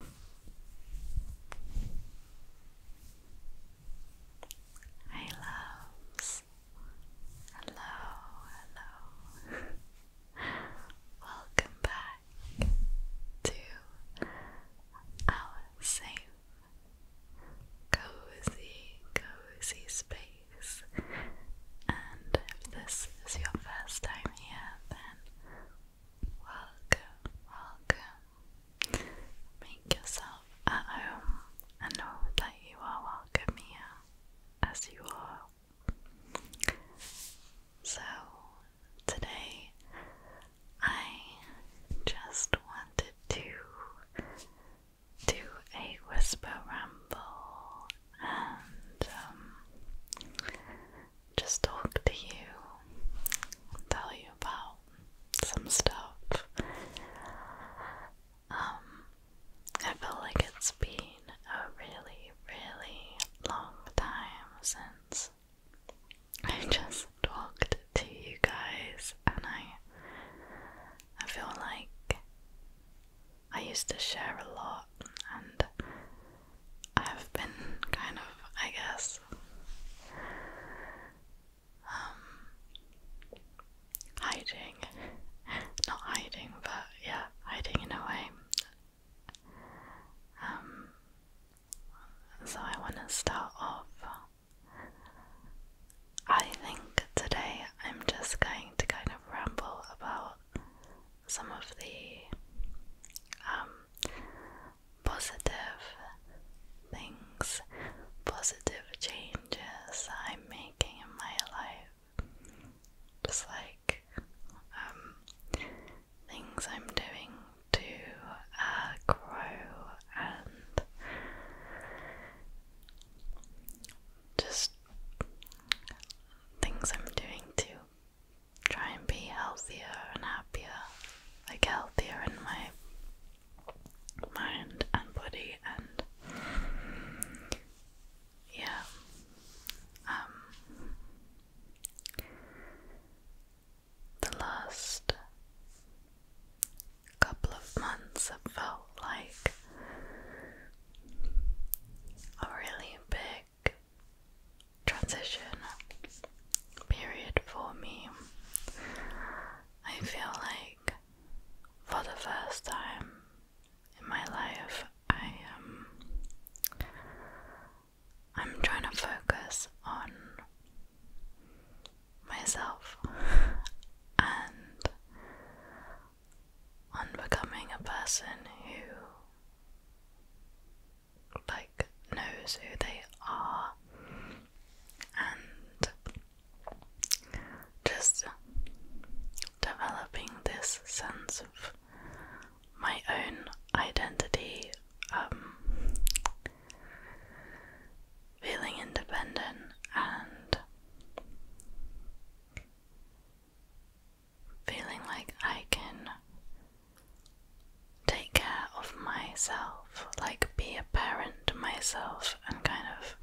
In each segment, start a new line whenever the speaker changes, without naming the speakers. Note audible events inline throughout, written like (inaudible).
Hi loves. Hello, hello. (laughs) Welcome back to our safe, cozy, cozy space. And if this is your first time here, then Welcome, welcome. Make yourself at home and know that you are welcome here as you are. So, today I just wanted to do a whisper ramble and um, just talk to you, tell you about some stuff. Um, I feel like it's been a really, really long time since I've (laughs) just talked to you guys, and I, I feel like I used to share a lot, and I've been kind of, I guess. Um, hiding. Not hiding, but yeah, hiding in a way. Um, so I want to start off. I think today I'm just going to kind of ramble about some of the um, positive things, positive changes I'm making in my life. Just like um, things I'm doing to uh, grow and just things I'm doing to try and be healthier and happier, like healthier in my mind and body and yeah. Um, the last couple of months have felt like a really big transition period for me. I feel like for the first time in my life, I am. Um, I'm trying to focus on myself (laughs) and on becoming a person who like knows who they are and just developing this sense of my own identity, um, feeling independent and feeling like I can take care of myself, like be a parent to myself and kind of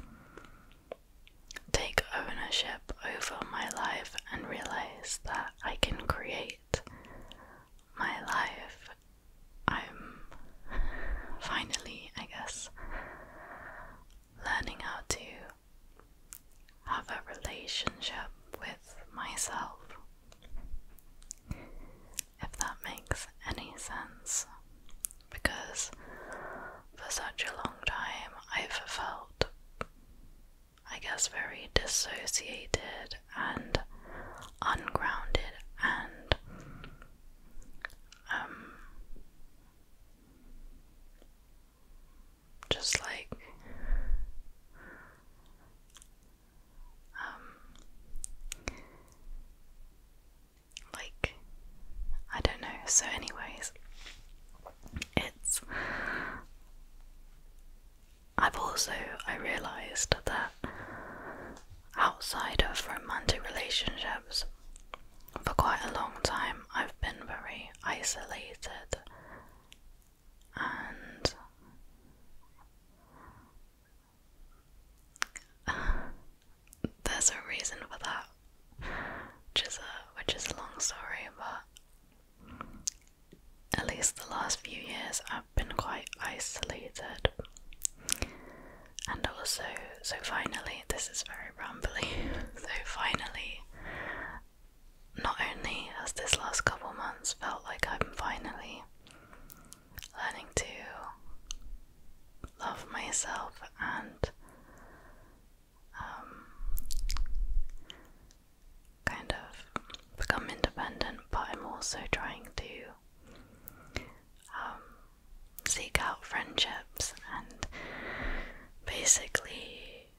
take ownership over my life and realize that I can create my life. I'm (laughs) finally, I guess, learning how to have a relationship with myself if that makes any sense, because for such a long time I've felt, I guess, very dissociated and ungrounded and, um, just like um, like, I don't know. So, anyways, it's. I've also I realized that outside of romantic relationships, for quite a long time, I've been very isolated and (laughs) there's a reason for that, which is a which is a long story, but at least the last few years I've been quite isolated, and also so finally this is very rambling. (laughs) so finally, not only has this last couple months felt like I'm finally learning to love myself and um, kind of become independent, but I'm also trying to um, seek out friendships and basically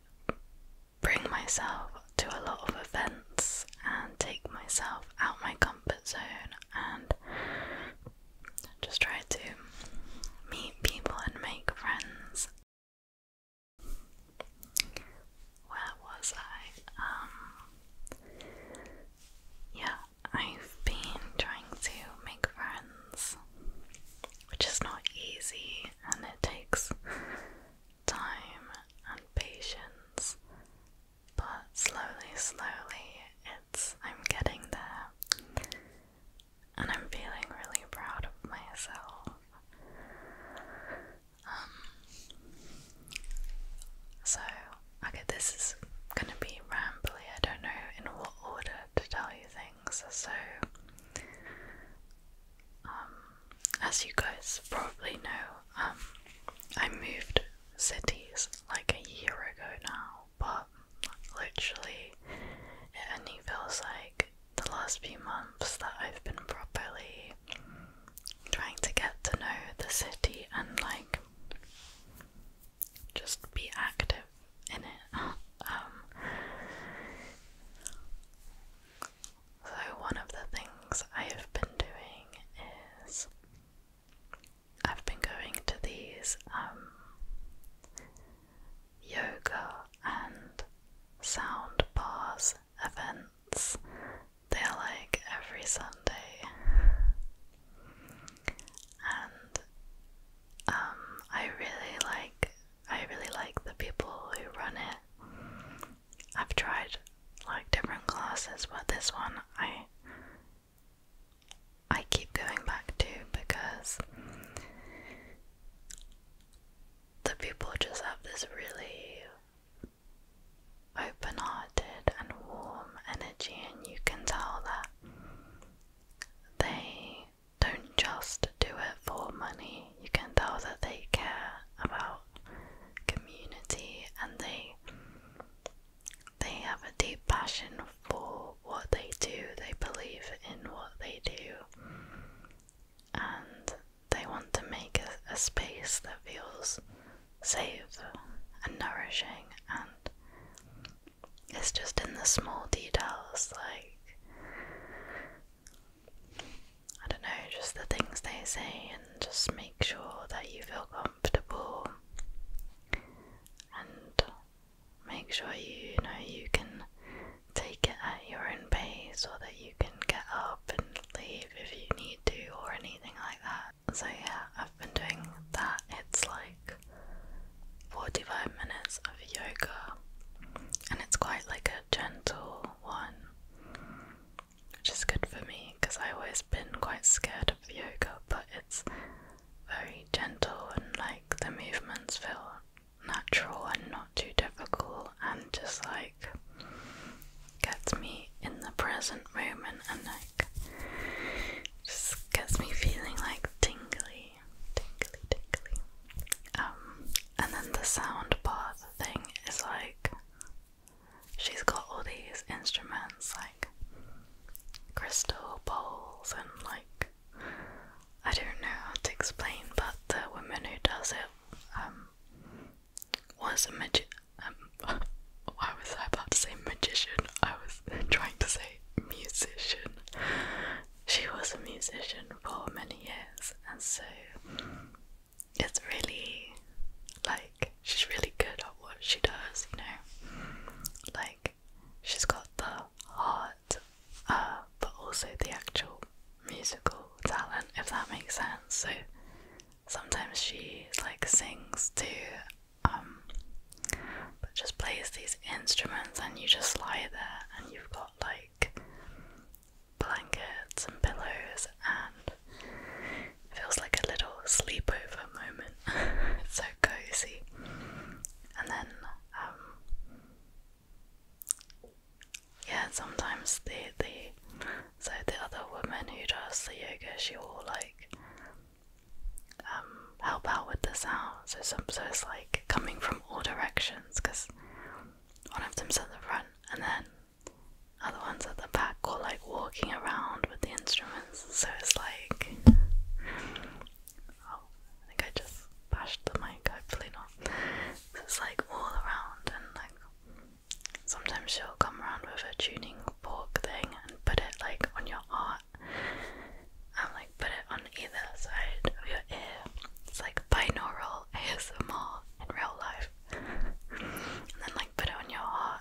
bring myself to a lot of events and take myself out my comfort zone and just try to meet people and make friends. Where was I? Um, yeah, I've been trying to make friends, which is not easy and it takes time and patience, but slowly, slowly, it's I'm getting there, and I'm feeling really proud of myself. Um, so okay, this is gonna be rambly. I don't know in what order to tell you things. So, um, as you guys probably know, um, I moved cities like a year ago now, but literally it only feels like the last few months that I've been properly trying to get to know the city and like just be active in it. (laughs) Um, so, one of the things I have been doing is I've been going to these um, yoga and sound bars events. They're like every Sunday. And um, I really like I really like the people who run it. I've tried like different classes, but this one I I keep going back to because the people just have this really open hearted and warm energy, and you can tell that they don't just do it for money, you can tell that they care about community and they they have a deep passion for what they do, they believe in what they do, and they want to make a, a space that feels safe and nourishing, and it's just in the small details like I don't know, just the things they say, and just make sure that you feel comfortable and make sure you, know you can take it at your own pace or that you can get up and leave if you need to or anything like that. So, yeah, I've been doing that. It's like 45 minutes of yoga and it's quite like a gentle one which is good for me because I've always been quite scared of yoga, but it's very gentle and like the movements feel natural and not too difficult and just like gets me in the present moment and like just gets me feeling like tingly, tingly, tingly. Um, and then the sound bath thing is like She's got all these instruments like crystal bowls and like I don't know how to explain, but the woman who does it um, was a magi um, (laughs) why was I about to say magician? I was trying to say musician. She was a musician for many years and so it's really like she's really good at what she does, you know. Like she's got the heart, uh, but also the actual musical talent, if that makes sense. So sometimes she like sings too, um, but just plays these instruments, and you just lie there, and you've got like blankets and pillows, and feels like a little sleepover moment. (laughs) it's so cozy. And then, um, yeah, sometimes the the so the other woman who does the yoga, she will like um, help out with the sound. So some so it's like coming from all directions because one of them's at the front and then are the ones at the back are like walking around with the instruments. So it's like, oh, I think I just bashed the mic. Hopefully not. it's like all around, and like sometimes she'll come around with her tuning fork thing and put it like on your ear And like put it on either side of your ear. It's like binaural ASMR in real life and then like put it on your heart.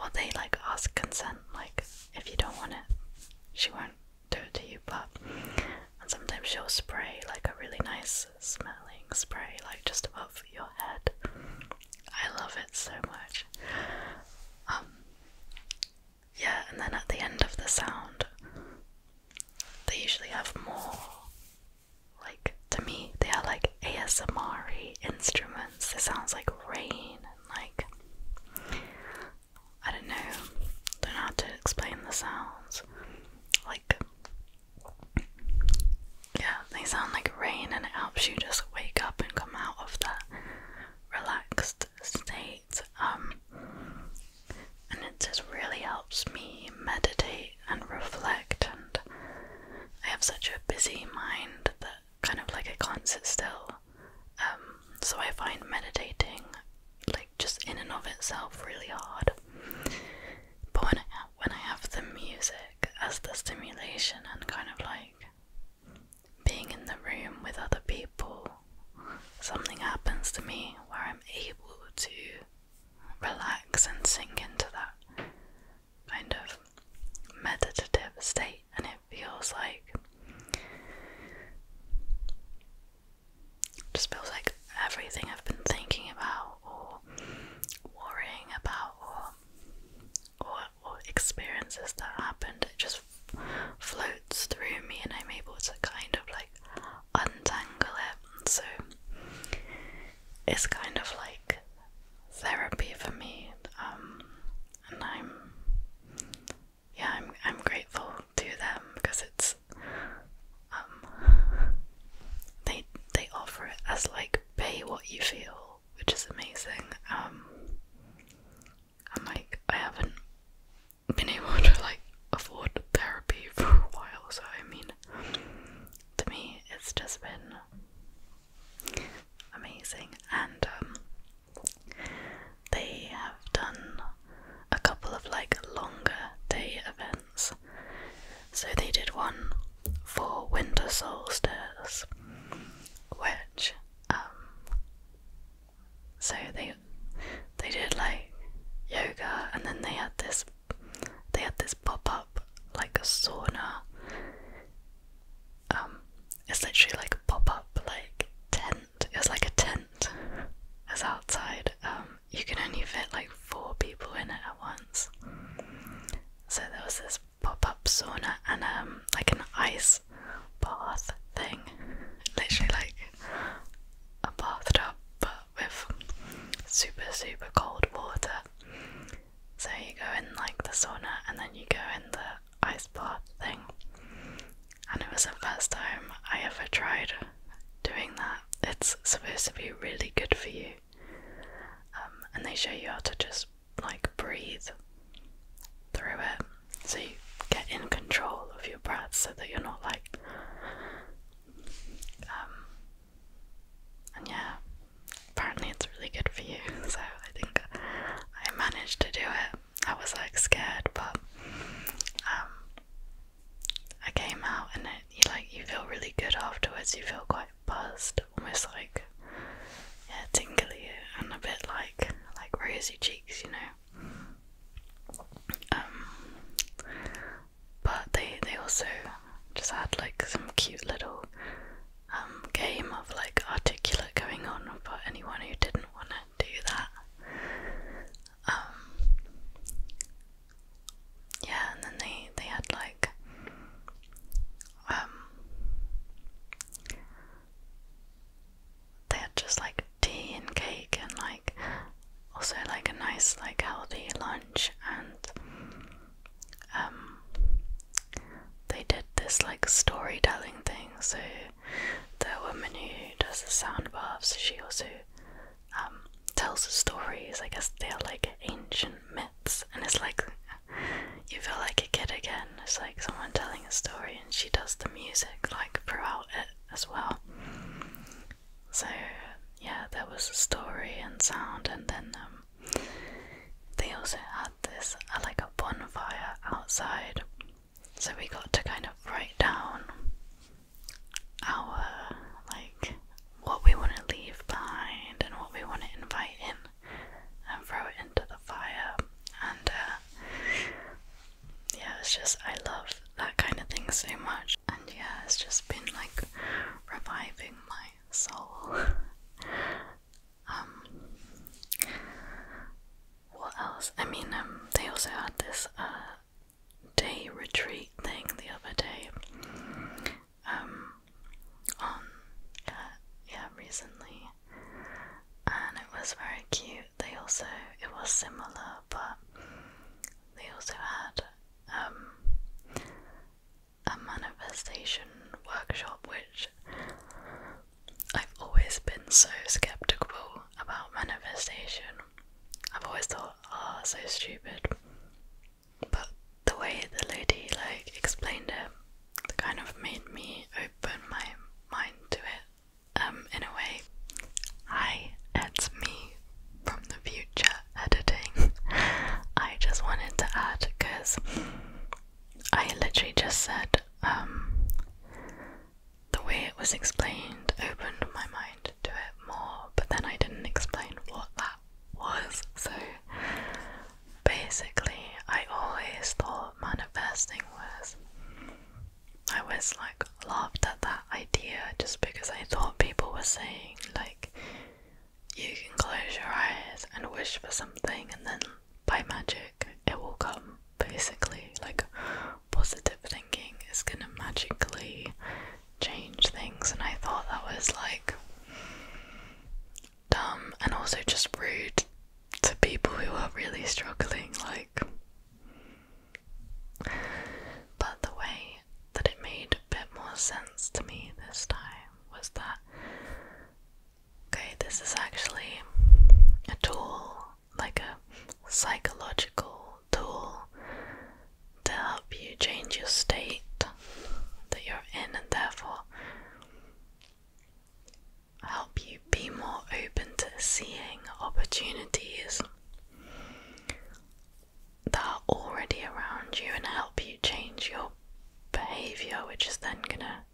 Or they like ask consent, like if you don't want it, she won't do it to you. But and sometimes she'll spray like a really nice smelling spray, like just above your head. I love it so much. Um, yeah, and then at the end of the sound, they usually have more like to me they are like ASMR instruments. It sounds like rain and like I don't know, don't know how to explain the sounds. Like yeah, they sound like rain and it helps you just wake up and come out of that relaxed state. Um and it just really helps me meditate and reflect and I have such a busy mind that kind of like I can't sit still. Um, so I find meditating like just in and of itself really hard. But when I have the music as the stimulation and kind of like being in the room with other people, something happens to me where I'm able to relax and sink into that kind of meditative state, and it feels like just feels like everything I've been thinking about or worrying about or or, experiences that happened, it just floats through me and I'm able to kind of like untangle it. So it's kind of like therapy for me, um, and I'm yeah, I'm I'm grateful to them because it's um, (laughs) they they offer it as like pay what you feel, which is amazing. Um, and like I haven't been able to like afford therapy (laughs) for a while, so I mean to me, it's just been amazing. And um, they have done a couple of like longer day events. So they did one for winter solstice, which um, so they they did like yoga, and then they had this they had this pop up like a sauna. Um, it's literally like a pop up like tent. It's like a tent. It outside. Um, you can only fit like four people in it at once. So there was this pop up sauna and um, like an ice bath thing. Literally like a bathtub but with super, super cold water. So you go in like the sauna and then you go in the ice bath thing. And it was the first time I ever tried doing that. It's supposed to be really good for you. Um, and they show you how to just like breathe through it. So you get in control of your breath so that you're not like um, and yeah, apparently it's really good for you, (laughs) so I think I managed to do it. I was like scared, but um, I came out and it, you like you feel really good afterwards. You feel quite buzzed, almost like yeah, tingly and a bit like like rosy cheeks, you know. Um, but they they also just had like some cute little um, game of like articulate going on for anyone who didn't want to do that. Um, yeah, and then they they had like um, they had just like tea and cake and like also like a nice like healthy lunch and um, they did this like storytelling thing. So the woman who does the sound baths, she also um, tells the stories. I guess they are like ancient myths, and it's like you feel like a kid again. It's like someone telling a story, and she does the music like throughout it as well. So yeah, there was a story and sound, and then um, they also had this uh, like a bonfire outside. So we got to kind of write down our like what we want to leave behind and what we want to invite in and throw it into the fire. And uh, yeah, it was just I love that kind of thing so much. And yeah, it's just been like reviving my soul. (laughs) Um, what else? I mean, um, they also had this uh, day retreat thing the other day. Um, on uh, yeah, recently, and it was very cute. They also it was similar, but they also had um, a manifestation workshop, which I've always been so skeptical about manifestation. I've always thought, ah, oh, so stupid. But the way the lady like explained it, kind of made me open my mind to it. Um, in a way, I it's me from the future editing (laughs) I just wanted to add because I literally just said um, the way it was explained opened my mind to it more, but then I didn't explain what that was. So basically, I always thought manifesting was. I was like laughed at that idea just because I thought people were saying, like, you can close your eyes and wish for something, and then by magic it will come basically. Like, positive thinking is gonna magically change things, and I thought that was like dumb and also just rude to people who are really struggling. Like, but the way that it made a bit more sense to me this time was that okay, this is actually a tool, like a psychological tool to help you change your state that you're in and therefore help you be more open to seeing opportunities that are already around you and help you change your behavior, which is then gonna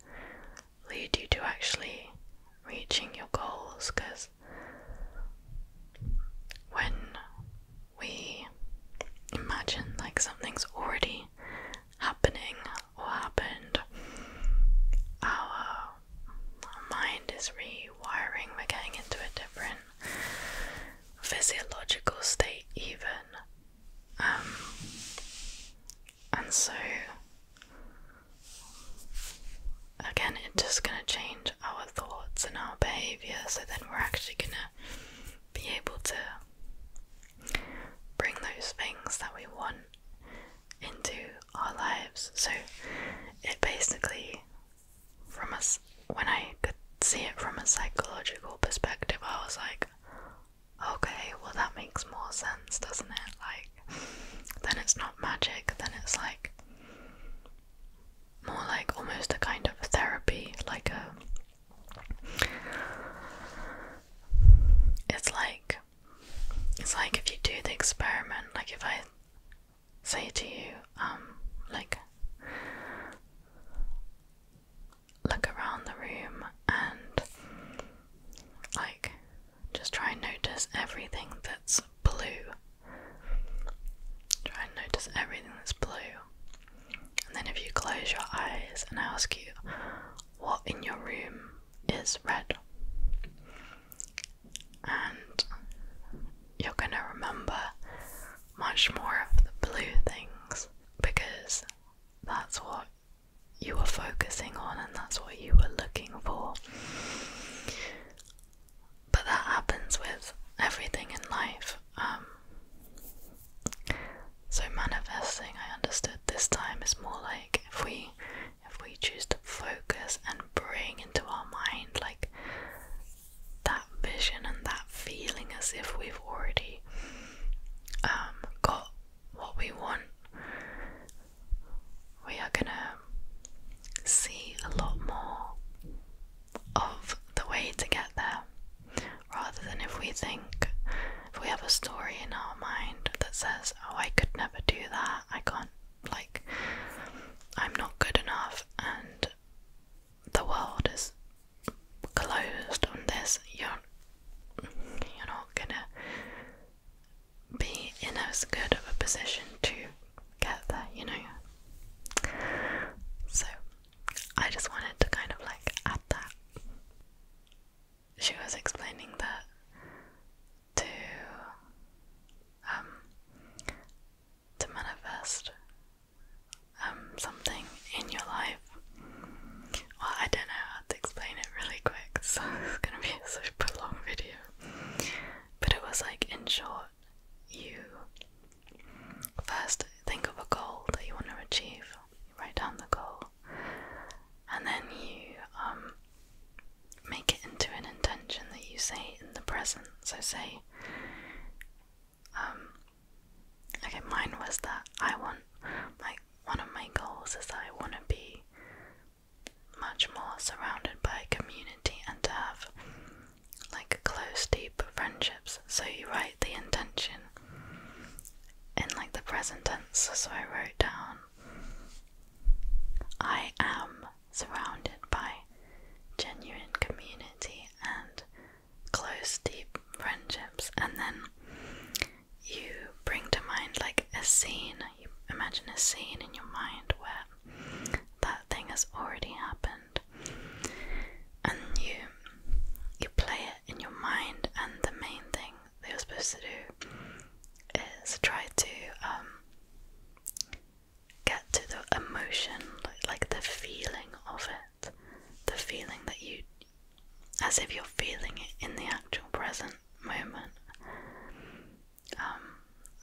lead you to actually reaching your goals. Because when we imagine like something's already happening or happened, our, mind is rewiring, we're getting into a different physiological state, even. Um, and so, again, it's just going to change our thoughts and our behavior, so then we're actually going to be able to bring those things that we want into our lives. So, it basically from a when I could see it from a psychological perspective, I was like, okay, well that makes more sense, doesn't it? Like, then it's not magic, then it's like more like almost a kind of therapy, like a. It's like it's like if you do the experiment, like if I say to you, um, like, look around the room and like just try and notice everything that's blue. Try and notice everything that's blue. And then if you close your eyes and I ask you what in your room is red. And you're going to remember much more of the blue things because that's what you were focusing on and that's what you were looking for. But that happens with everything in life. Um, so manifesting, I understood this time is more like if we if we choose to focus and bring into our mind like that vision and that feeling as if we've already um, got what we want, we are gonna see a lot more of the way to get there rather than if we think, if we have a story in our mind that says, Oh, I could never do that, I can't, like, I'm not good enough, and the world is closed on this, you're you're not gonna be in as good of a position to get there, you know. So I just wanted to kind of like add that. She was explaining that to um, to manifest um, something in your life. Well, I don't know how to explain it really quick, (laughs) so it's gonna be a long video. But it was like, in short, you first think of a goal that you want to achieve, write down the goal, and then you um, make it into an intention that you say in the present. So, say, um, okay, mine was that I want my one of my goals is that I want to be much more surrounded by community and to have like close, deep friendships. So you write the intention in like the present tense. So I wrote down I am surrounded by genuine community and close, deep friendships, and then you bring to mind like a scene, you imagine a scene in your mind where that thing has already happened, and you you play it in your mind, and the main thing that you're supposed to do is try to um, get to the emotion, like the feeling of it, the feeling that you, as if you're feeling it in the actual present moment. Um,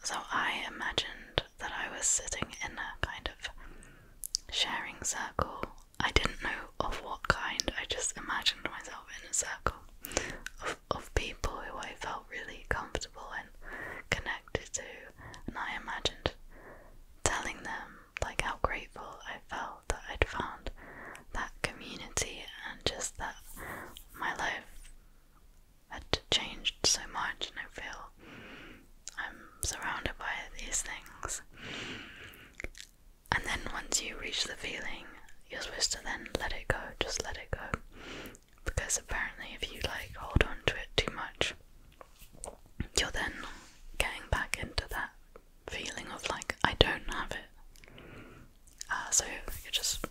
so I imagined that I was sitting in a kind of sharing circle. I didn't know of what kind, I just imagined myself in a circle of, of people who I felt really comfortable and connected to and I imagined telling them like how grateful I felt that I'd found that community and just that my life had changed so much and I feel I'm surrounded by these things. And then once you reach the feeling, you're supposed to then let it go, just let it go because apparently if you like hold on to it too much you're then getting back into that feeling of like I don't have it. Uh, so you're just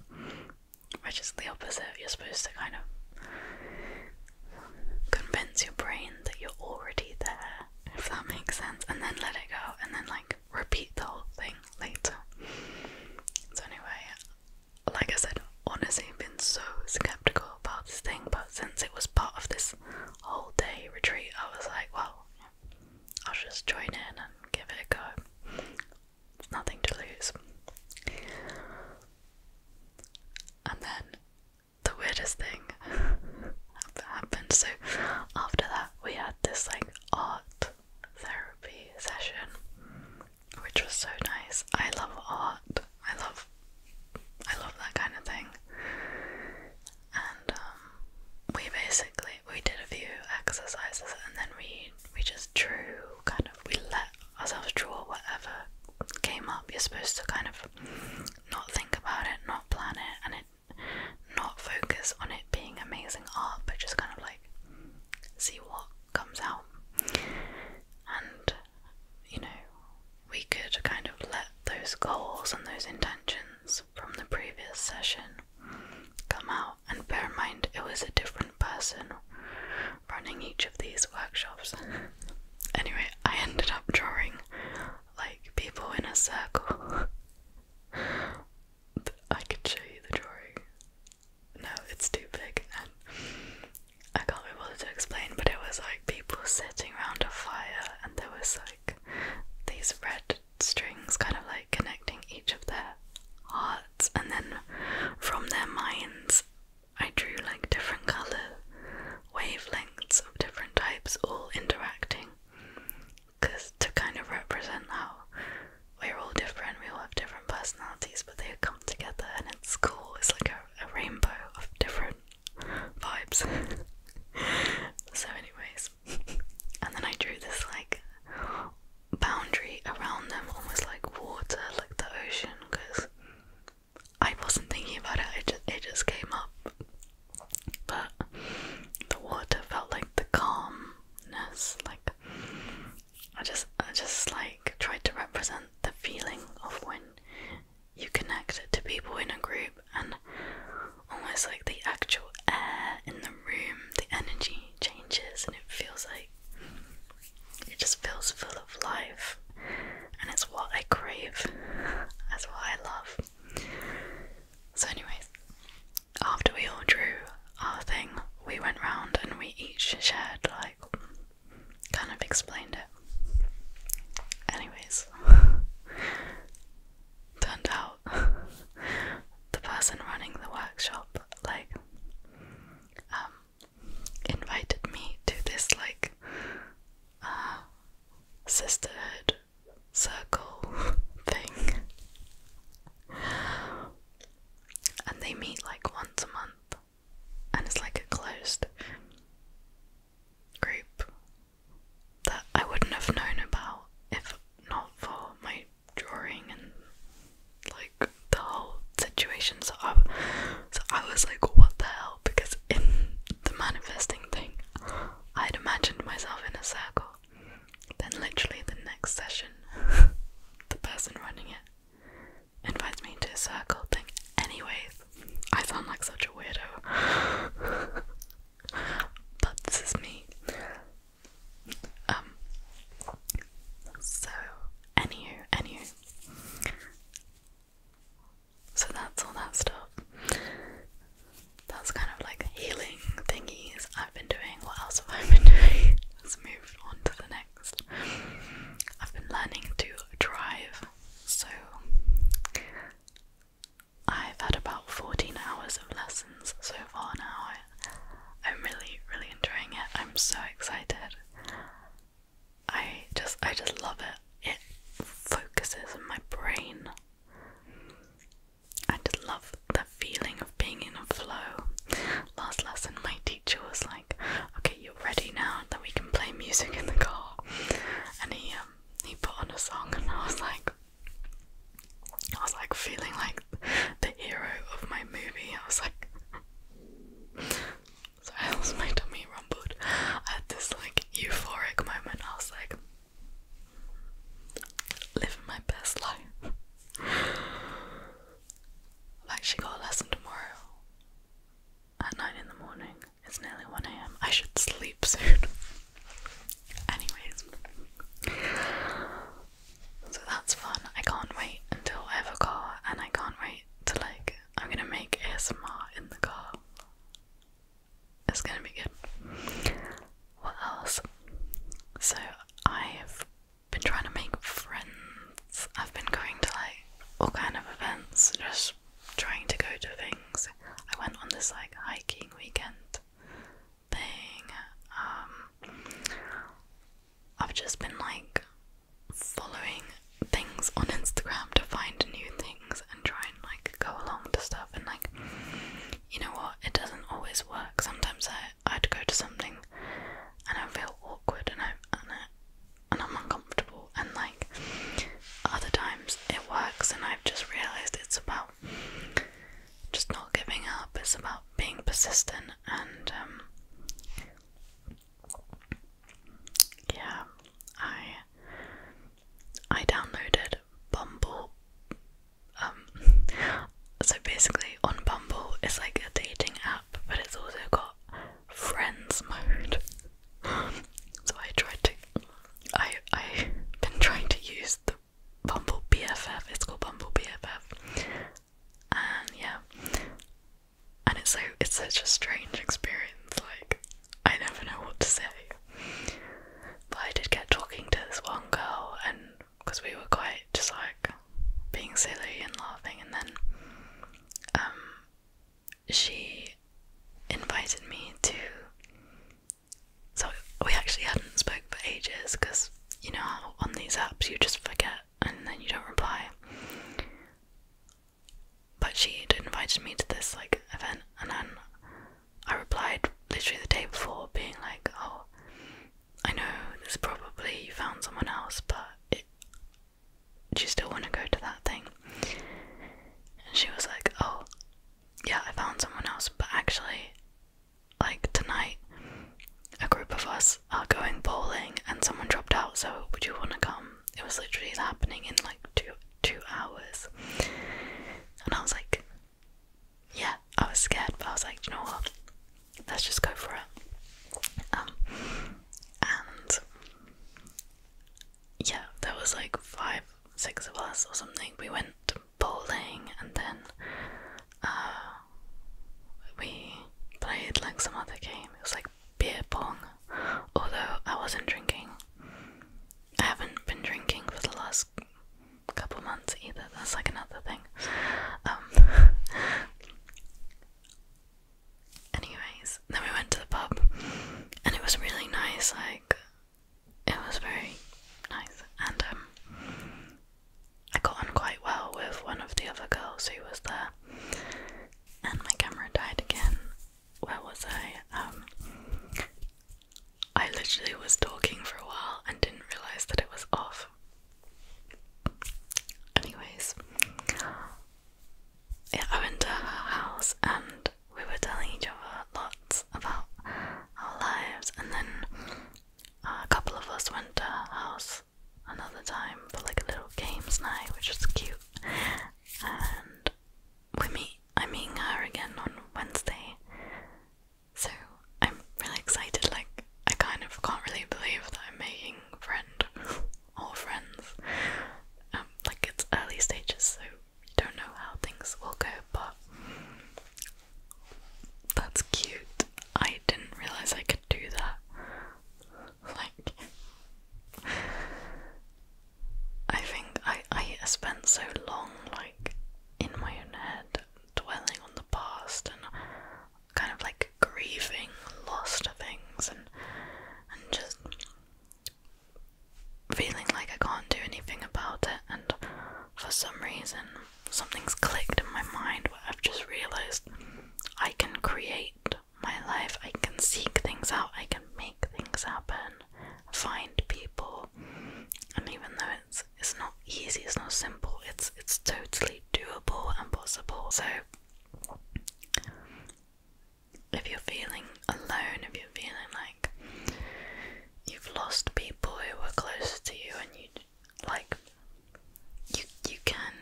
which is the opposite. You're supposed to kind of convince your brain that you're already there, if that makes sense, and then let it go and then like repeat the whole thing later. So anyway, like I said, honestly, I've been so skeptical about this thing, but since it was part of this whole day retreat, I was like, well, I'll just join in and give it a go. It's nothing to lose. And then the weirdest thing (laughs) happened. So after that, we had this like art therapy session, which was so nice. I love art. I love I love that kind of thing. And um, we basically we did a few exercises and then we we just drew kind of we let ourselves draw whatever came up. You're supposed to kind of not think about it, not plan it and it not focus on it being amazing art but just kind of like see what comes out and you know, we could kind of let those goals and those intentions from the previous session come out. And bear in mind, it was a different person running each of these workshops. (laughs) anyway, I ended up drawing like people in a circle. (laughs) I could show you the drawing. No, it's too big. I can't be bothered to explain, but it was like people sitting around a fire, and there was like these red strings kind of like connecting each of their hearts, and then from their minds, I drew like different color wavelengths of different types all interacting because to kind of represent how we're all different, we all have different personalities, but they come together and it's cool. It's like a rainbow of different vibes. (laughs) so, anyways, and then I drew this like boundary around them, almost like water, like the ocean, because I wasn't thinking about it. It just, it just came up, but the water felt like the calmness, like I just I just like tried to represent the feeling of when you connect to people in a group and almost like the actual air in the room, the energy changes and it feels like it just feels full of life and it's what I crave. That's what I love. So anyways, after we all drew our thing, we went round and we each shared like kind of explained it. Anyways, (laughs) turned out (laughs) the person running the workshop like um, invited me to this like uh, sisterhood circle (laughs) thing. And they meet like once a month and it's like a closed group that I wouldn't have known about if not for my drawing and like the whole situation so I, was like what the hell because in the manifesting thing I'd imagined myself in a circle then literally the next session (laughs) the person running it invites me to a circle thing. Anyways, I sound like such a weirdo. (laughs) but this is me. Um so anywho, anywho. So that's all that stuff. That's kind of like healing thingies I've been doing. What else have I been doing? (laughs) Let's move on to the next I've been learning to drive, so I've had about 14 hours of lessons so far now. I, am really, really enjoying it. I'm so excited. I just, I just love it. It focuses my brain. I just love the feeling of being in a flow. Last lesson, my was like, "Okay, you're ready now. Then we can play music in the car." And he um he put on a song, and I was like, I was like feeling like the hero of my movie. I was like, (laughs) sorry, that my tummy rumbled. I had this like euphoric moment. I was like, living my best life. I've actually got a lesson tomorrow at 9 in the morning. It's nearly 1 am. I should sleep soon. (laughs) Anyways, so that's fun. I can't wait until I car, and I can't wait to like. I'm gonna make ASMR in the car. It's gonna be good. What else? So I've been trying to make friends I've been going to like all kind of events, just trying to go to things. I went on this like hiking weekend thing. Um, I've just been like following things on Instagram to find new things and try and like go along to stuff and like you know what it doesn't always work sometimes I, I'd go to something and I feel awkward and I, and I and I'm uncomfortable and like other times it works and I've just realized it's about just not giving up, it's about being persistent and um yeah, I I downloaded Bumble um, (laughs) so basically on Bumble it's like a dating app but it's also got friends mode. (gasps) so I tried to I I've been trying to use the Bumble BFF. It's called Bumble BFF. And yeah. And it's so it's such a strange experience. Like I never know what to say. But I did get talking to this one girl and because we were quite just like being silly and laughing and then um, she invited me to. So we actually hadn't spoke for ages because you know on these apps you just forget and then you don't reply. But she invited me to this like event, and then I replied literally the day before, being like, "Oh, I know this probably you found someone else, but do you still want to go to that thing? And she was like, oh, yeah, I found someone else, but actually, like tonight, a group of us are going bowling and someone dropped out, so would you want to come? It was literally happening in like two two hours. And I was like, yeah, I was scared, but I was like, you know what? Let's just go for it. Um, and yeah, there was like five, six of us or something. We went bowling and then uh, we played like some other game. It was like beer pong, although I wasn't drinking. I haven't been drinking for the last couple months either. That's like another thing. Um, (laughs) Anyways, then we went to the pub and it was really nice, like it was very nice and um I got on quite well with one of the other girls who was there. And my camera died again. Where was I? Um I literally was talking for a while and didn't realise that it was off. Anyways, yeah, I went to her house and we were telling each other lots about our lives, and then uh, a couple of us went to her house another time for like a little games night, which was cute. And we meet, I'm meeting her again on Wednesday, so I'm really excited. Like, I kind of can't really believe that I'm making a friend or friends. Um, like it's early stages, so you don't know how things will go, but that's cute. I didn't realize I could do that. Like, I think I I spent so long like in my own head dwelling on the past, and kind of like grieving lost things and and just feeling like I can't do anything about it and for some reason something's clicked in my mind where I've just realized I can create my life, I can seek things out, I can make things happen, find people and even though it's it's not easy, it's not simple, it's it's totally doable and possible. So if you're feeling alone, if you're feeling like you've lost people who were close to you and you like you you can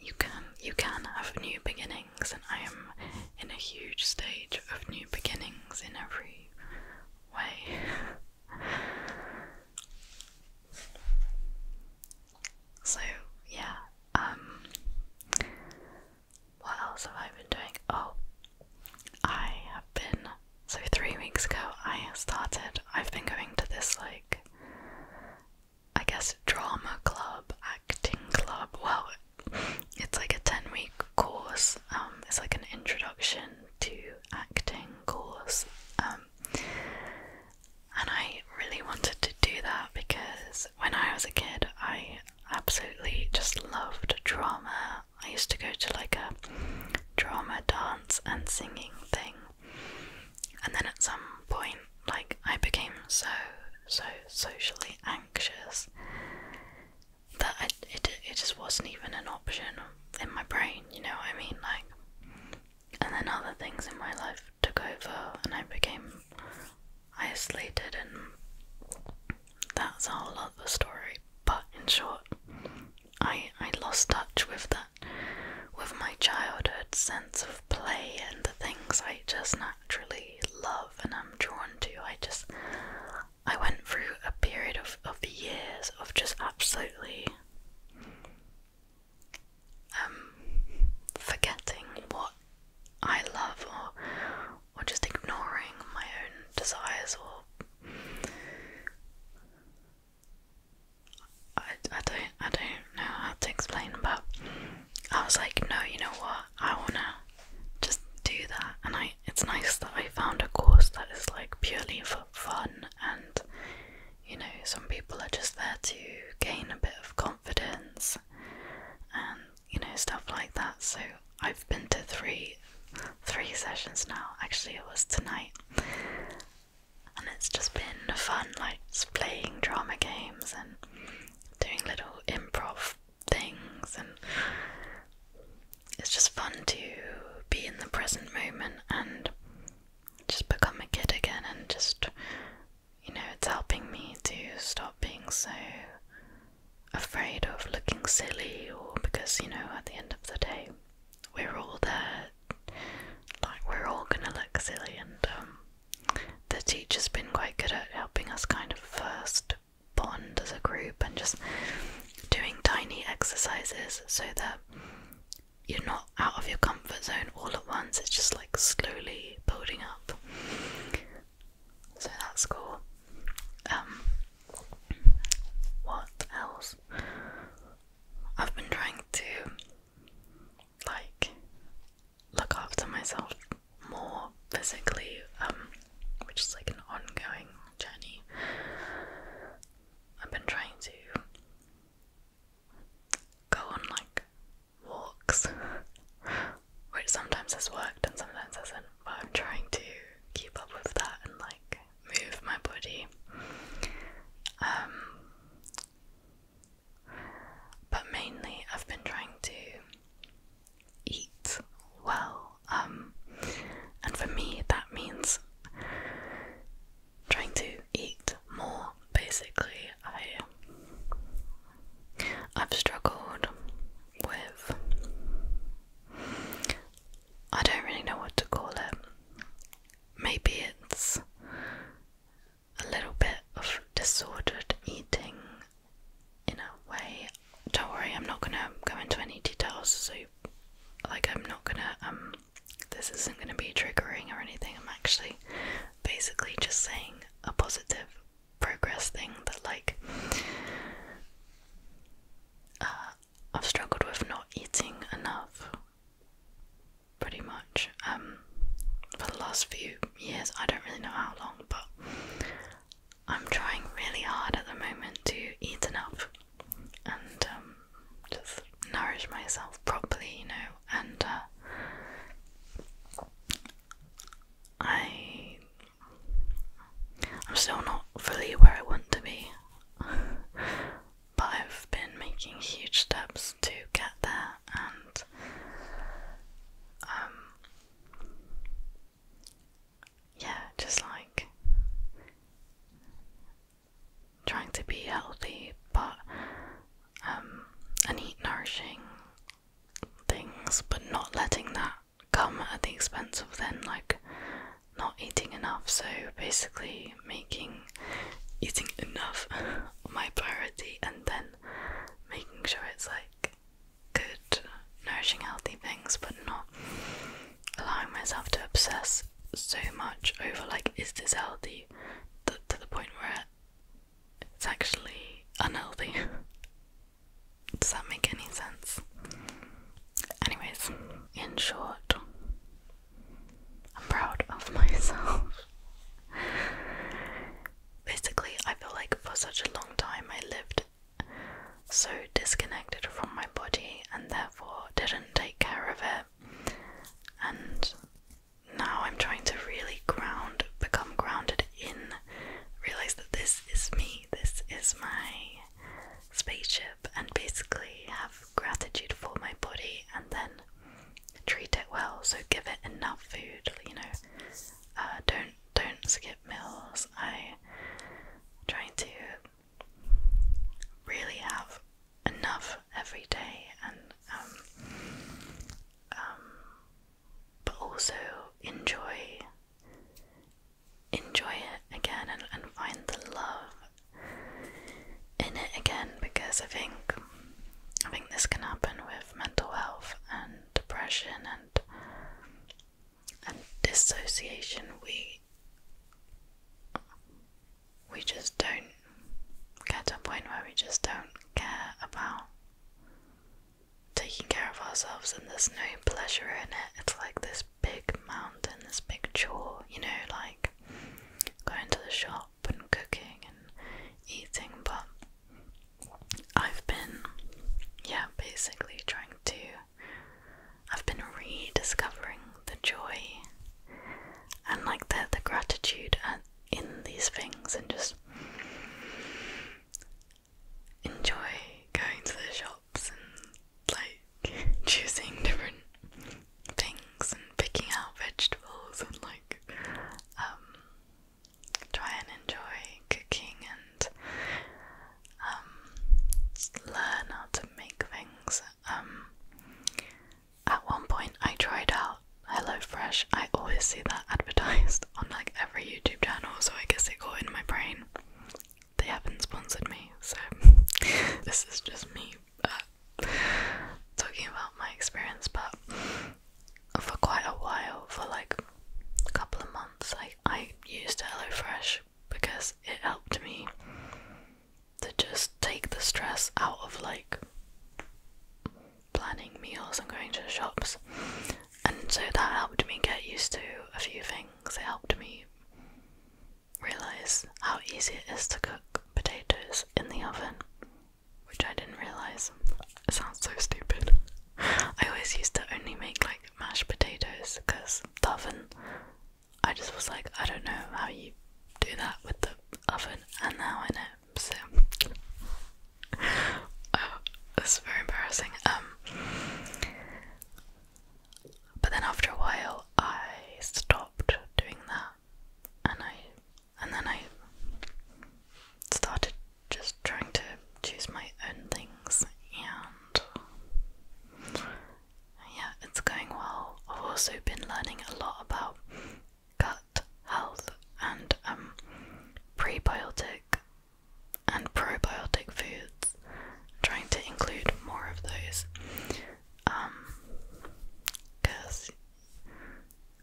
you can you can have new beginnings and I am in a huge stage of new beginnings in every way. (laughs) So yeah, um, what else have I been doing? Oh I have been so three weeks ago I started I've been going to this like I guess drama club, acting club. Well it's like a 10 week course. Um, it's like an introduction to acting course. Um, and I really wanted to do that because when I was a kid, I absolutely just loved drama. I used to go to like a drama dance and singing thing. And then at some point, like, I became so, so socially anxious that it, it just wasn't even an option in my brain, you know what I mean? Like, and then other things in my life took over, and I became isolated, and that's a whole lot of other story. But in short, I I lost touch with that, with my childhood sense of play and the things I just naturally love and I'm drawn to. I just I went through a period of of years of just absolutely um, forgetting what I love, or or just ignoring my own desires, or I, I don't I don't know how to explain, but I was like, no, you know what, I wanna just do that, and I it's nice that I found a course that is like purely for fun and. You know, some people are just there to gain a bit of confidence confidence and you know stuff like that. So I've been to three three sessions now. Actually it was tonight. And it's just been fun, like playing drama games and doing little improv things and it's just fun to be in the present moment and just become a kid again and just you know, it's helping me to stop being so afraid of looking silly, or because, you know, at the end of the day, we're all there, like, we're all gonna look silly, and um, the teacher's been quite good at helping us kind of first bond as a group and just doing tiny exercises so that you're not out of your comfort zone all at once, it's just like slowly building up. So that's cool. Um, what else? I've been trying to like look after myself more physically, um, which is like an ongoing journey. I've been trying to go on like walks, (laughs) which sometimes has worked and sometimes hasn't, but I'm trying to keep up with that and like move my body. Um, but mainly, I've been trying to eat well, um, and for me, that means trying to eat more basically I I've struggled with I don't really know what to call it. Maybe it's a little bit of disordered eating in a way. Don't worry, I'm not gonna go into any details so like I'm not gonna um this isn't going to be triggering or anything. I'm actually basically just saying a positive progress thing that, like, uh, I've struggled with not eating enough pretty much um, for the last few years. I don't really know how long, but I'm trying really hard at the moment to eat enough and um, just nourish myself properly, you know, and uh, I I'm still not fully where I want to be, (laughs) but I've been making huge steps to get there, and um, yeah, just like trying to be healthy but um, and eat nourishing things but not letting that come at the expense of then like not eating enough so basically making eating enough (laughs) my priority and then making sure it's like good nourishing healthy things but not allowing myself to obsess so much over like is this healthy to the point where it's actually unhealthy. (laughs) Does that make any sense? Anyways, in short, I'm proud of (laughs) myself. Basically, I feel like for such a long time I lived so disconnected from my body and therefore didn't take care of it. And now I'm trying to really ground, become grounded in, realize that this is me, this is my spaceship, and basically have gratitude for my body and then treat it well. So give it enough food, you know. Uh, don't don't skip meals. I'm trying to really have enough every day and um, um, but also enjoy enjoy it again and, and find the love in it again because I think I think this can happen with mental health and depression and and dissociation we we just don't get to a point where we just don't care about taking care of ourselves and there's no pleasure in it. It's like this big mountain, this big chore, you know, like going to the shop and cooking and eating. But I've been, yeah, basically trying to, I've been rediscovering the joy and like the, the gratitude and in these things and just enjoy going to the shops and like (laughs) choosing different things and picking out vegetables and like um try and enjoy cooking and um, learn how to make things um at one point, I tried out HelloFresh. I always see that advertised on like every YouTube channel, so I guess it got in my brain. They haven't sponsored me, so (laughs) this is just me uh, talking about my experience. But for quite a while, for like a couple of months, I, I used HelloFresh because it helped me to just take the stress out of like planning meals and going to the shops. And so that helped me get used to a few things. It helped me realize how easy it is to cook potatoes in the oven, which I didn't realize. It sounds so stupid. (laughs) I always used to only make like mashed potatoes because the oven. I just was like, I don't know how you do that with the oven, and now I know lips. (laughs) oh, this is very embarrassing. Um, but then after a while, I stopped doing that, and I, and then I started just trying to choose my own things, and yeah, it's going well. I've also been learning a lot about gut health and um, prebiotic and probiotic foods. trying to include more of those because um,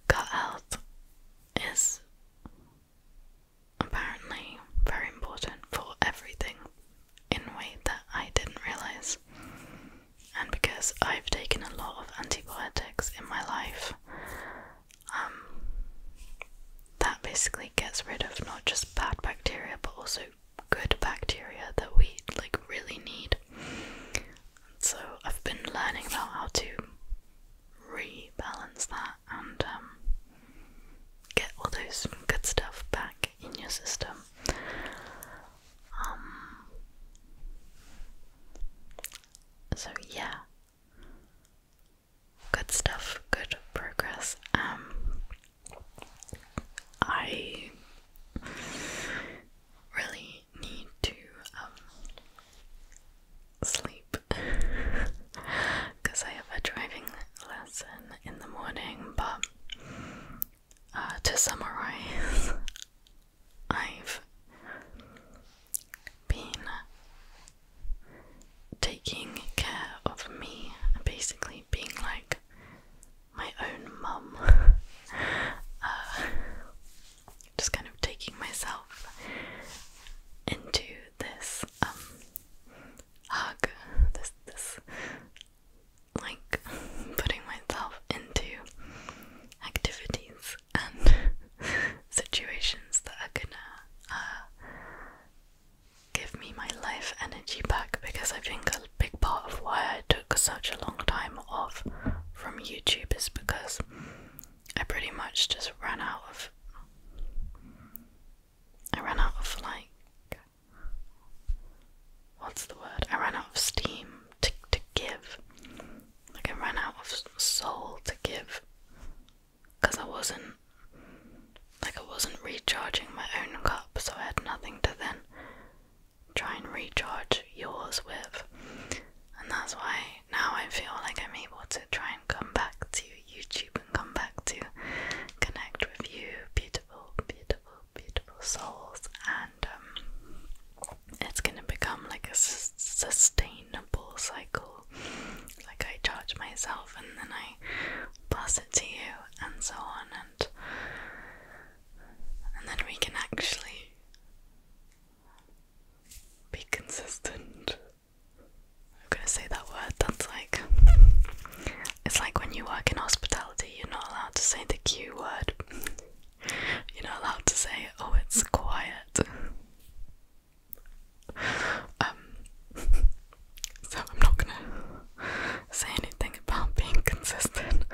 gut health is apparently very important for everything in a way that I didn't realize and because I've taken a lot of antibiotics in my life, um, that basically gets rid of not just bad bacteria but also good bacteria that we like really need. So I've been learning about how to rebalance that and um, get all those good stuff back in your system. Um so yeah. Good stuff, good progress. Um I really need to um sleep because (laughs) I have a driving lesson in the morning, but uh, to summarize, (laughs) I've been taking care of me, basically being like my own mum, (laughs) uh, just kind of taking myself into this um, hug, this like (laughs) putting myself into activities and (laughs) situations that are gonna uh, give me my life energy back because I think a big part of why I took such a long time off from YouTube is because I pretty much just ran out of I ran out of like what's the word? I ran out of steam to to give. Like I ran out of soul to give, because I wasn't like I wasn't recharging my own cup, so I had nothing to then try and recharge yours with. And that's why now I feel like I'm able to try and come back to YouTube and come back to connect with you, beautiful, beautiful, beautiful souls. And um, it's gonna become like a sustainable cycle. Like I charge myself and then I pass it to you, and so on, and and then we can actually be consistent. I'm gonna say that word. That's like it's like when you work in hospitality, you're not allowed to say the Q word. You're not allowed to say, oh, it's quiet. Um, so I'm not gonna say anything about being consistent.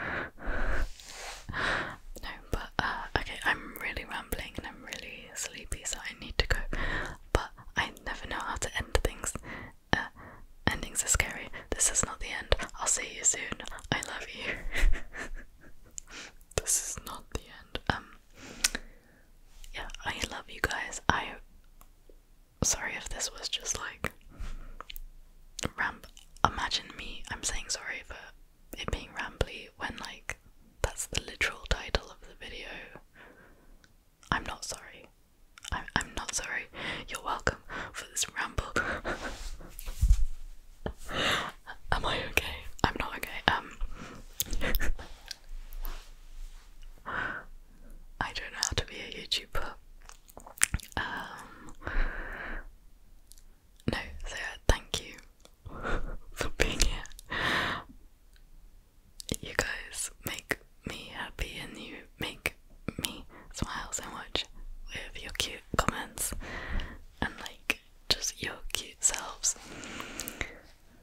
no, but uh, okay, I'm really rambling and I'm really sleepy, so I need to go. But I never know how to end things. Uh, endings are scary. This is not the end. I'll see you soon. I love you. (laughs) (laughs) this is not the end. Um yeah, I love you guys. I sorry if this was just like ramp imagine me I'm saying sorry for it being rambly when like that's the literal title of the video. I'm not sorry. I'm I'm not sorry. You're welcome for this ramble. (laughs) Am I okay? I'm not okay. Um, I don't know how to be a YouTuber. Um, no, so uh, thank you for being here. You guys make me happy and you make me smile so much with your cute comments and like just your cute selves.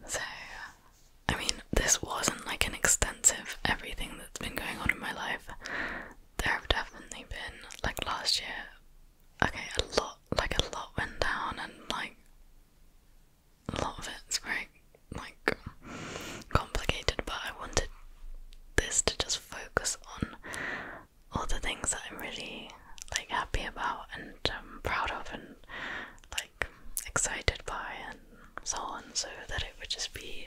So, I mean, this wasn't like an extensive everything that's been going on in my life. There have definitely been, like last year, okay, a lot, like a lot went down, and like a lot of it's very, like, complicated, but I wanted this to just focus on all the things that I'm really like happy about and proud of and like excited by and so on so that it would just be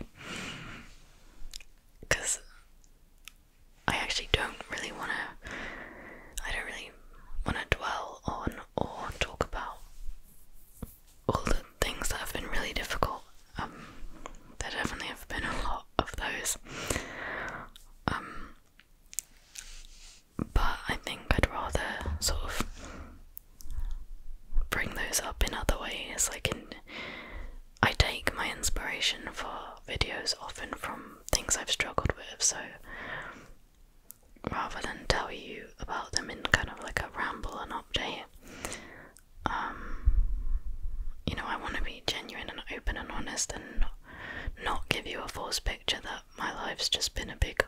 because I actually don't really want to I don't really want to dwell on or talk about all the things that have been really difficult um there definitely have been a lot of those. Um, but I think I'd rather sort of bring those up in other ways. Like in, I take my inspiration for videos often from things I've struggled with, so rather than tell you about them in kind of like a ramble and update, um, you know, I want to be genuine and open and honest and not, give you a false picture that my life's just been a big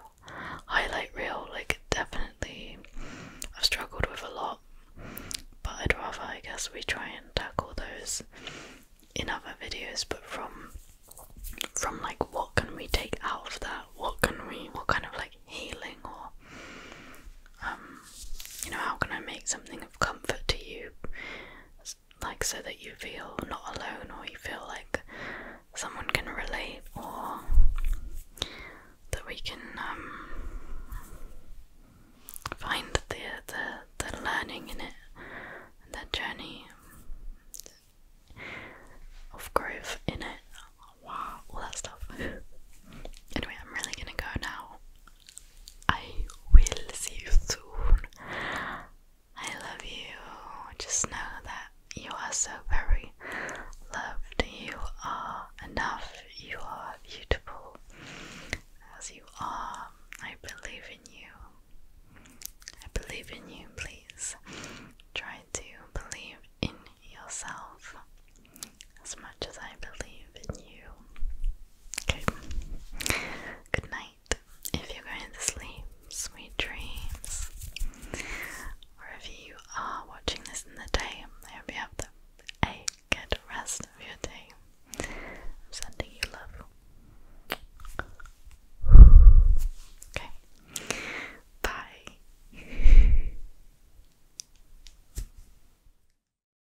highlight reel. Like, definitely, I've struggled with a lot, but I'd rather, I guess, we try and tackle those in other videos, but from from like what can we take out of that? What can we what kind of like healing or um, you know how can I make something comfort to you, like so that you feel not alone or you feel like someone can relate or that we can um, find the, the, the learning in it and the journey of growth in it. Wow, all that stuff. anyway, I'm really gonna go now. I will see you soon. I love you. Just know that you are so very loved. You are enough. You are beautiful as you are. I believe in you. I believe in you, please. Try to believe in yourself as as I believe in you. Okay. Good night. If you're going to sleep, sweet dreams. Wherever you are watching this in the day, I hope you have a good rest of your day. I'm sending you love. Okay. Bye. (laughs)